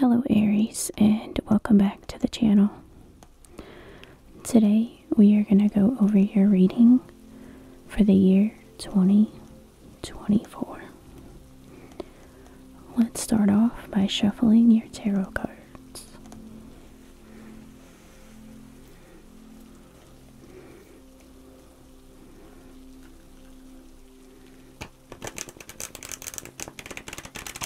Hello Aries and welcome back to the channel. Today we are going to go over your reading for the year 2024. Let's start off by shuffling your tarot cards.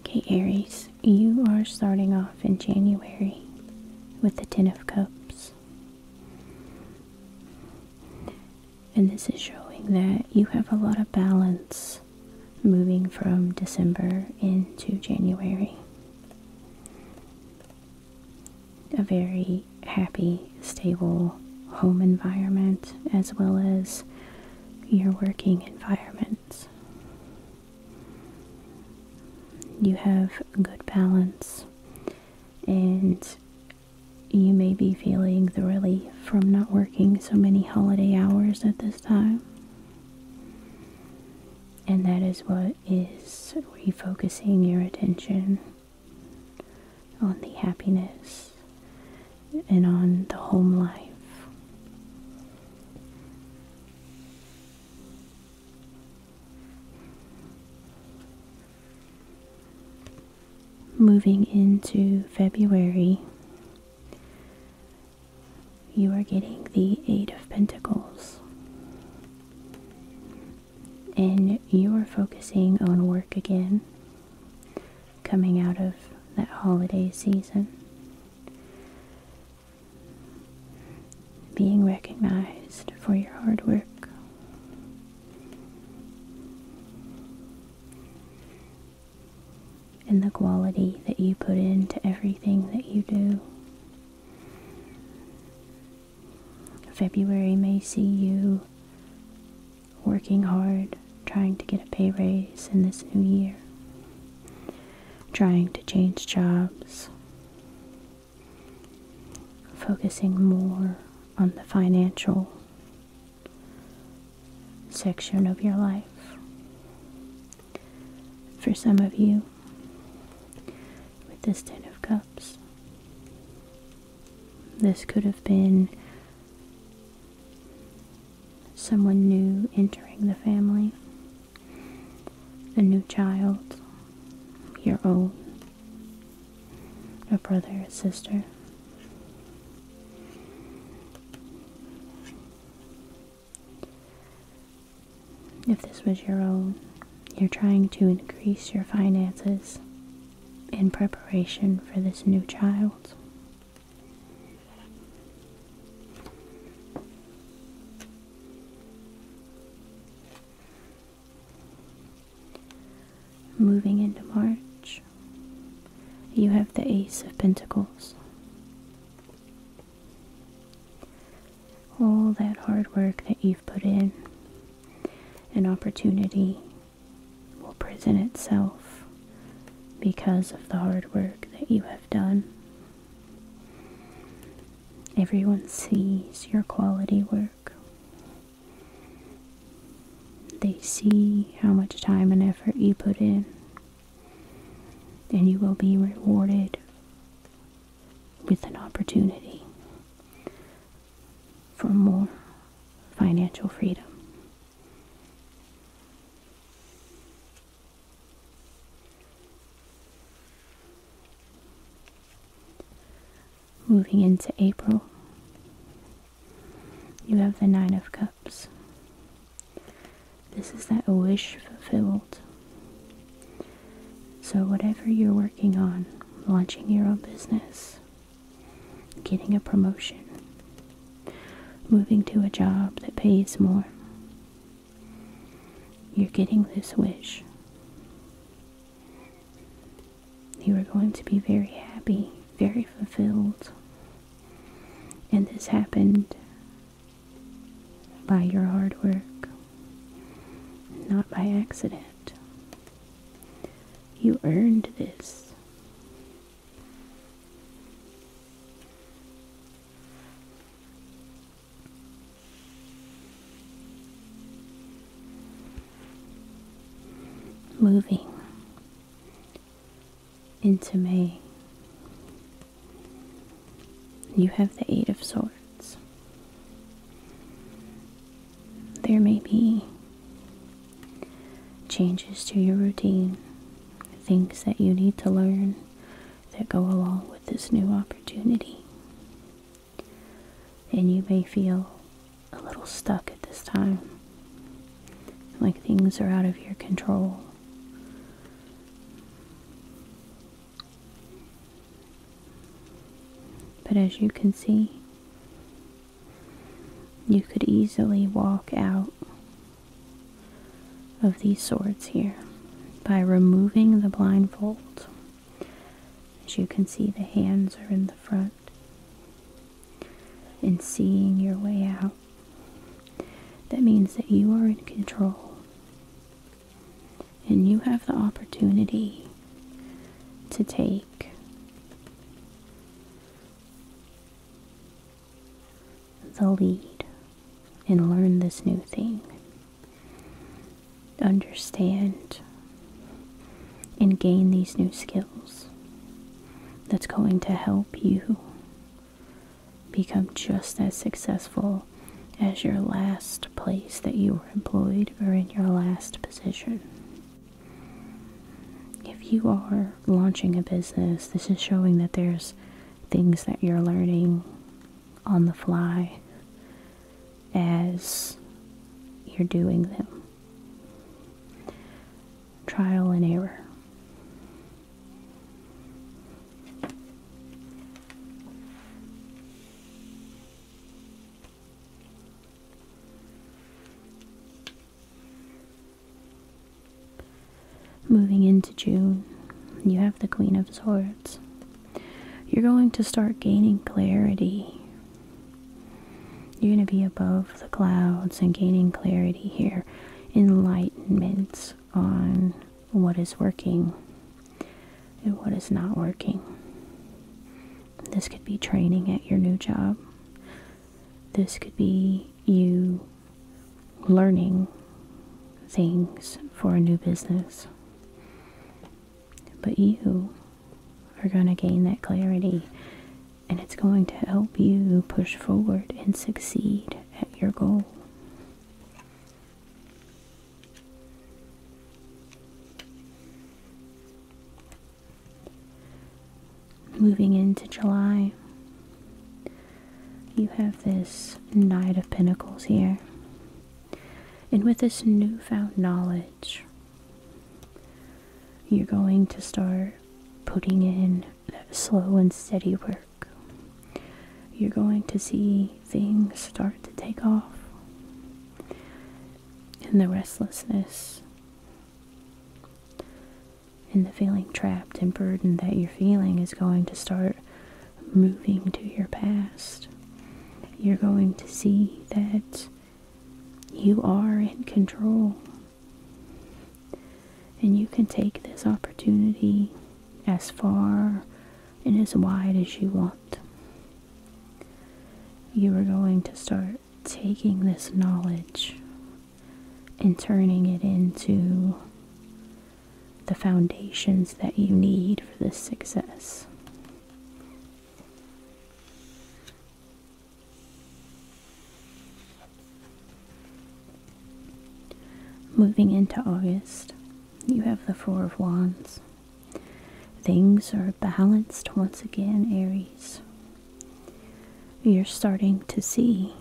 Okay, Aries, you are starting off in January with the Ten of Cups. And this is showing that you have a lot of balance moving from December into January a very happy, stable home environment as well as your working environment. You have good balance and you may be feeling the relief from not working so many holiday hours at this time. And that is what is refocusing your attention on the happiness and on the home life. Moving into February, you are getting the Eight of Pentacles and you are focusing on work again coming out of that holiday season. Being recognized for your hard work. And the quality that you put into everything that you do. February may see you working hard, trying to get a pay raise in this new year, trying to change jobs, focusing more on the financial section of your life. For some of you, with this Ten of Cups, this could have been someone new entering the family, a new child, your own, a brother, a sister. If this was your own, you're trying to increase your finances in preparation for this new child. Moving into March, you have the Ace of Pentacles all that hard work that you've put in, an opportunity will present itself because of the hard work that you have done. Everyone sees your quality work. They see how much time and effort you put in, and you will be rewarded with an opportunity for more financial freedom. Moving into April, you have the Nine of Cups. This is that wish fulfilled so, whatever you're working on, launching your own business, getting a promotion, moving to a job that pays more, you're getting this wish. You are going to be very happy, very fulfilled. And this happened by your hard work, not by accident. You earned this. Moving into May. You have the Eight of Swords. There may be changes to your routine, things that you need to learn that go along with this new opportunity. And you may feel a little stuck at this time, like things are out of your control. But as you can see, you could easily walk out of these swords here by removing the blindfold. As you can see, the hands are in the front and seeing your way out. That means that you are in control and you have the opportunity to take the lead and learn this new thing. Understand and gain these new skills that's going to help you become just as successful as your last place that you were employed or in your last position. If you are launching a business, this is showing that there's things that you're learning on the fly as you're doing them. Trial and error. Moving into June, you have the Queen of Swords. You're going to start gaining clarity. You're going to be above the clouds and gaining clarity here, enlightenment on what is working and what is not working. This could be training at your new job. This could be you learning things for a new business. But you are going to gain that clarity and it's going to help you push forward and succeed at your goal. Moving into July, you have this Knight of Pentacles here. And with this newfound knowledge, you're going to start putting in that slow and steady work. You're going to see things start to take off, and the restlessness, and the feeling trapped and burdened that you're feeling is going to start moving to your past. You're going to see that you are in control. And you can take this opportunity as far and as wide as you want. You are going to start taking this knowledge and turning it into the foundations that you need for this success. Moving into August, you have the Four of Wands. Things are balanced once again, Aries. You're starting to see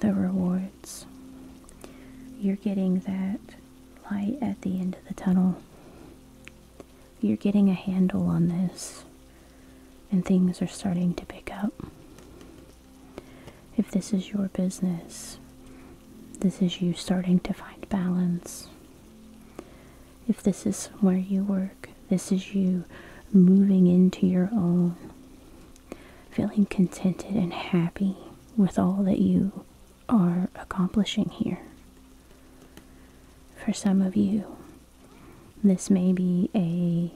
the rewards. You're getting that light at the end of the tunnel. You're getting a handle on this, and things are starting to pick up. If this is your business, this is you starting to find balance. If this is where you work, this is you moving into your own, feeling contented and happy with all that you are accomplishing here. For some of you, this may be a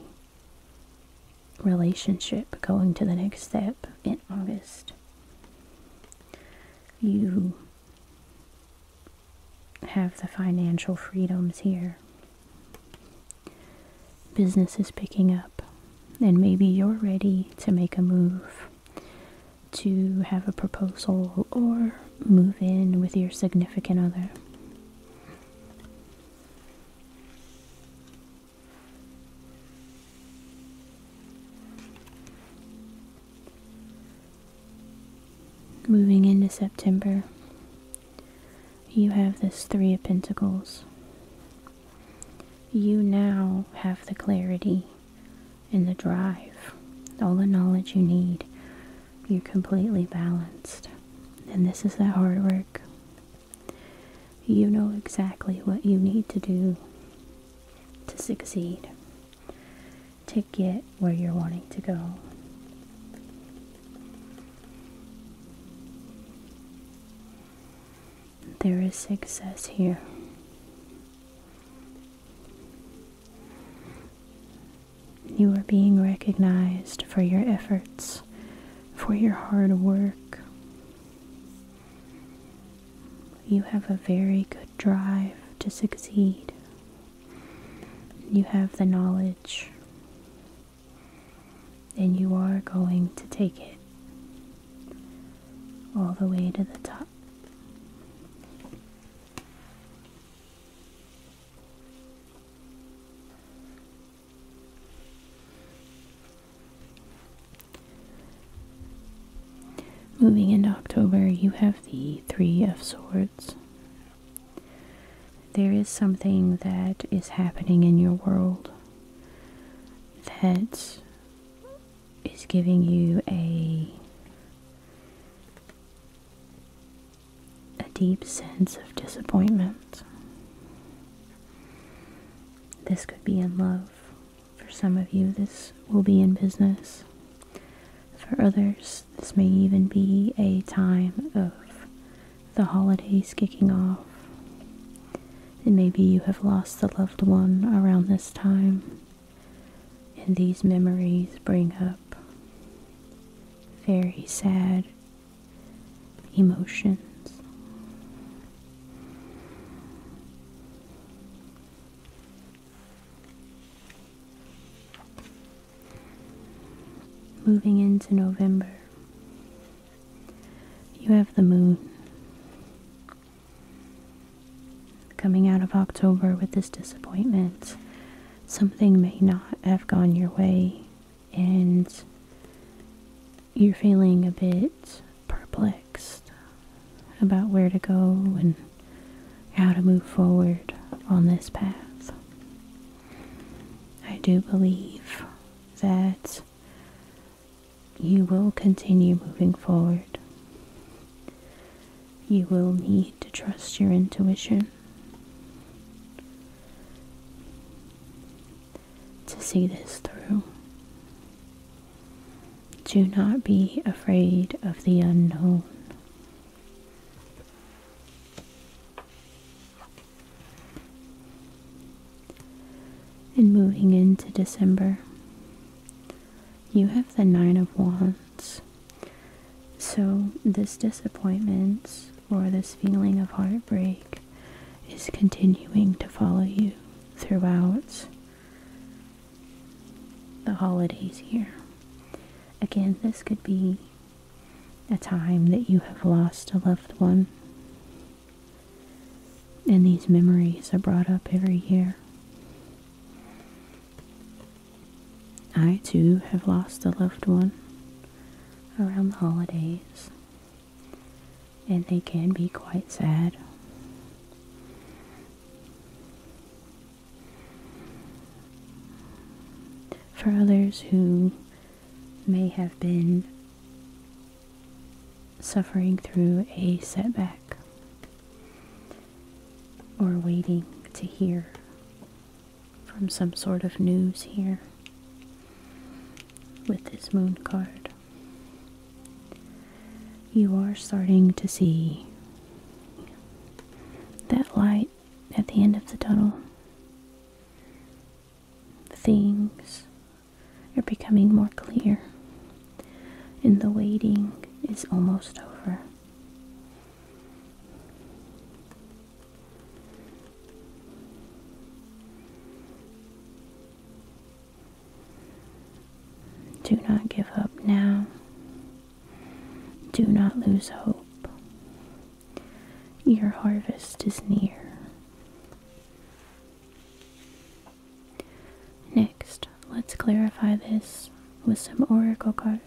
relationship going to the next step in August. You have the financial freedoms here. Business is picking up, and maybe you're ready to make a move, to have a proposal, or move in with your significant other. Moving into September, you have this Three of Pentacles. You now have the clarity and the drive, all the knowledge you need you're completely balanced. And this is that hard work. You know exactly what you need to do to succeed, to get where you're wanting to go. There is success here. You are being recognized for your efforts, for your hard work. You have a very good drive to succeed. You have the knowledge, and you are going to take it all the way to the top. Moving into October, you have the Three of Swords. There is something that is happening in your world that is giving you a a deep sense of disappointment. This could be in love. For some of you, this will be in business. For others, this may even be a time of the holidays kicking off. And maybe you have lost the loved one around this time. And these memories bring up very sad emotions. Moving into November, you have the moon coming out of October with this disappointment something may not have gone your way and you're feeling a bit perplexed about where to go and how to move forward on this path. I do believe that you will continue moving forward you will need to trust your intuition to see this through. Do not be afraid of the unknown. In moving into December, you have the Nine of Wands. So, this disappointment or this feeling of heartbreak is continuing to follow you throughout the holidays here. Again, this could be a time that you have lost a loved one. And these memories are brought up every year. I too have lost a loved one around the holidays, and they can be quite sad. For others who may have been suffering through a setback or waiting to hear from some sort of news here with this moon card. You are starting to see that light at the end of the tunnel. Things are becoming more clear, and the waiting is almost over. Do not give up now. Do not lose hope. Your harvest is near. Next, let's clarify this with some oracle cards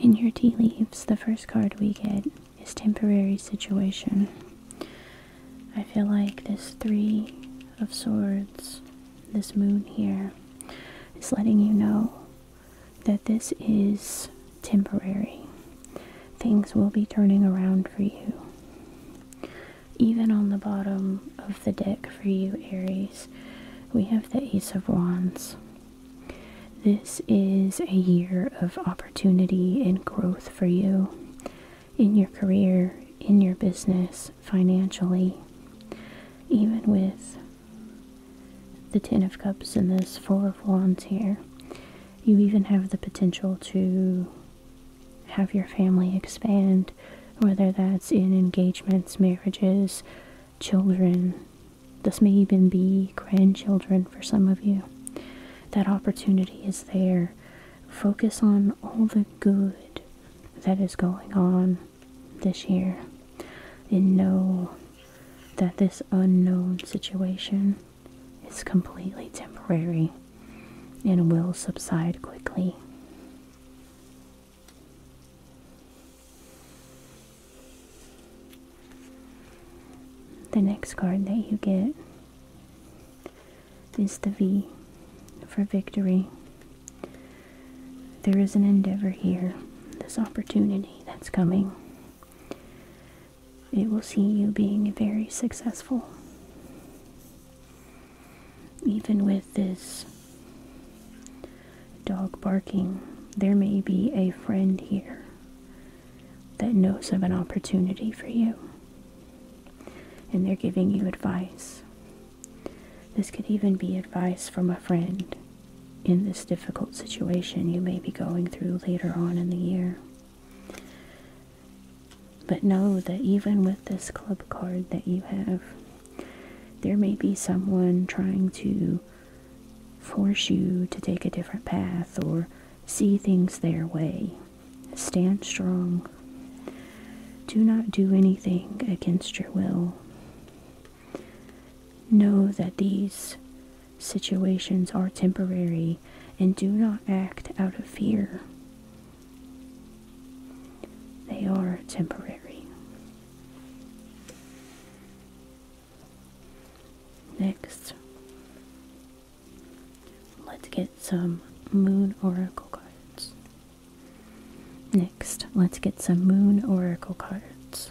In your tea leaves, the first card we get is Temporary Situation. I feel like this Three of Swords, this moon here, is letting you know that this is temporary. Things will be turning around for you. Even on the bottom of the deck for you, Aries, we have the Ace of Wands. This is a year of opportunity and growth for you in your career, in your business, financially, even with the Ten of Cups and this Four of Wands here. You even have the potential to have your family expand, whether that's in engagements, marriages, children. This may even be grandchildren for some of you. That opportunity is there. Focus on all the good that is going on this year and know that this unknown situation is completely temporary and will subside quickly. The next card that you get is the V for victory there is an endeavor here, this opportunity that's coming. It will see you being very successful. Even with this dog barking, there may be a friend here that knows of an opportunity for you. And they're giving you advice. This could even be advice from a friend in this difficult situation you may be going through later on in the year. But know that even with this club card that you have, there may be someone trying to force you to take a different path or see things their way. Stand strong. Do not do anything against your will. Know that these situations are temporary and do not act out of fear. They are temporary. Next, let's get some Moon Oracle cards. Next, let's get some Moon Oracle cards.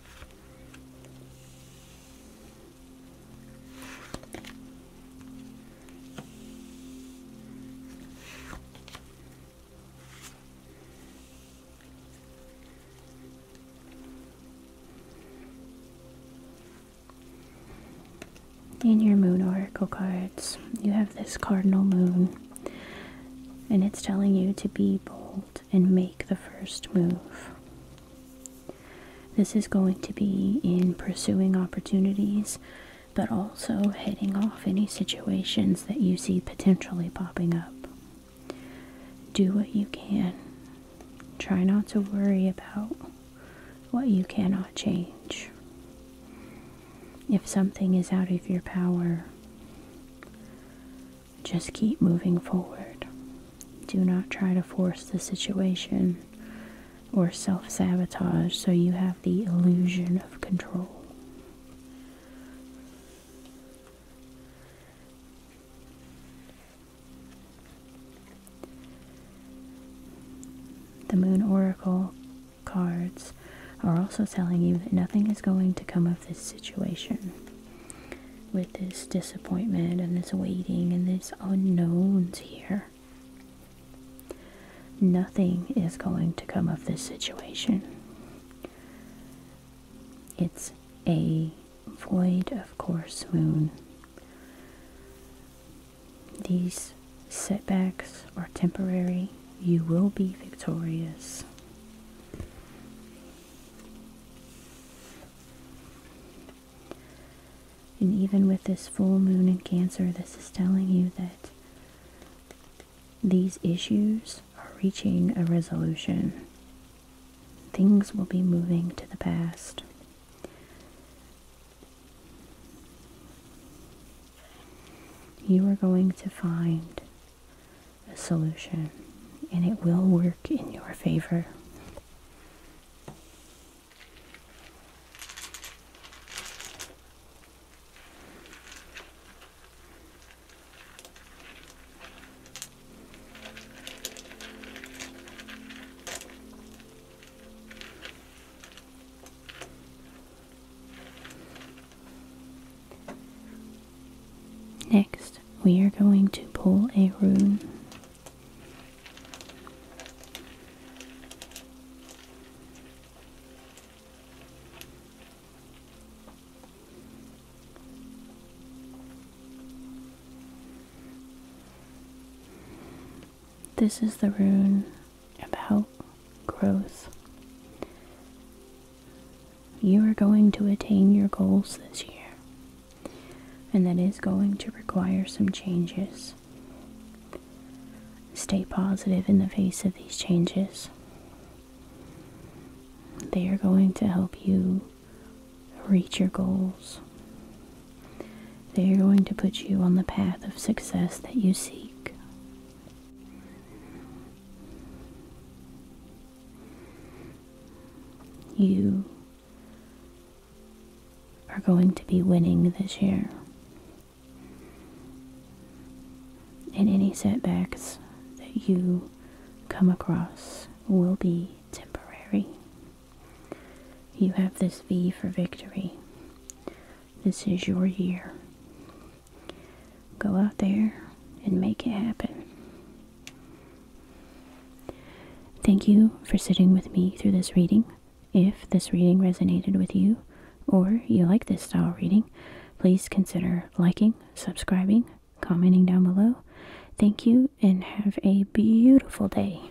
In your moon oracle cards, you have this cardinal moon, and it's telling you to be bold and make the first move. This is going to be in pursuing opportunities, but also heading off any situations that you see potentially popping up. Do what you can. Try not to worry about what you cannot change. If something is out of your power, just keep moving forward. Do not try to force the situation or self sabotage so you have the illusion of control. The Moon Oracle cards are also telling you that nothing is going to come of this situation with this disappointment and this waiting and this unknowns here. Nothing is going to come of this situation. It's a void of course moon. These setbacks are temporary. You will be victorious. And even with this full moon in Cancer, this is telling you that these issues are reaching a resolution. Things will be moving to the past. You are going to find a solution and it will work in your favor. Next, we are going to pull a rune. This is the rune about growth. You are going to attain your goals this year, and that is going to require some changes. Stay positive in the face of these changes. They are going to help you reach your goals. They are going to put you on the path of success that you seek. You are going to be winning this year. And any setbacks that you come across will be temporary. You have this V for victory. This is your year. Go out there and make it happen. Thank you for sitting with me through this reading. If this reading resonated with you, or you like this style reading, please consider liking, subscribing, commenting down below. Thank you and have a beautiful day.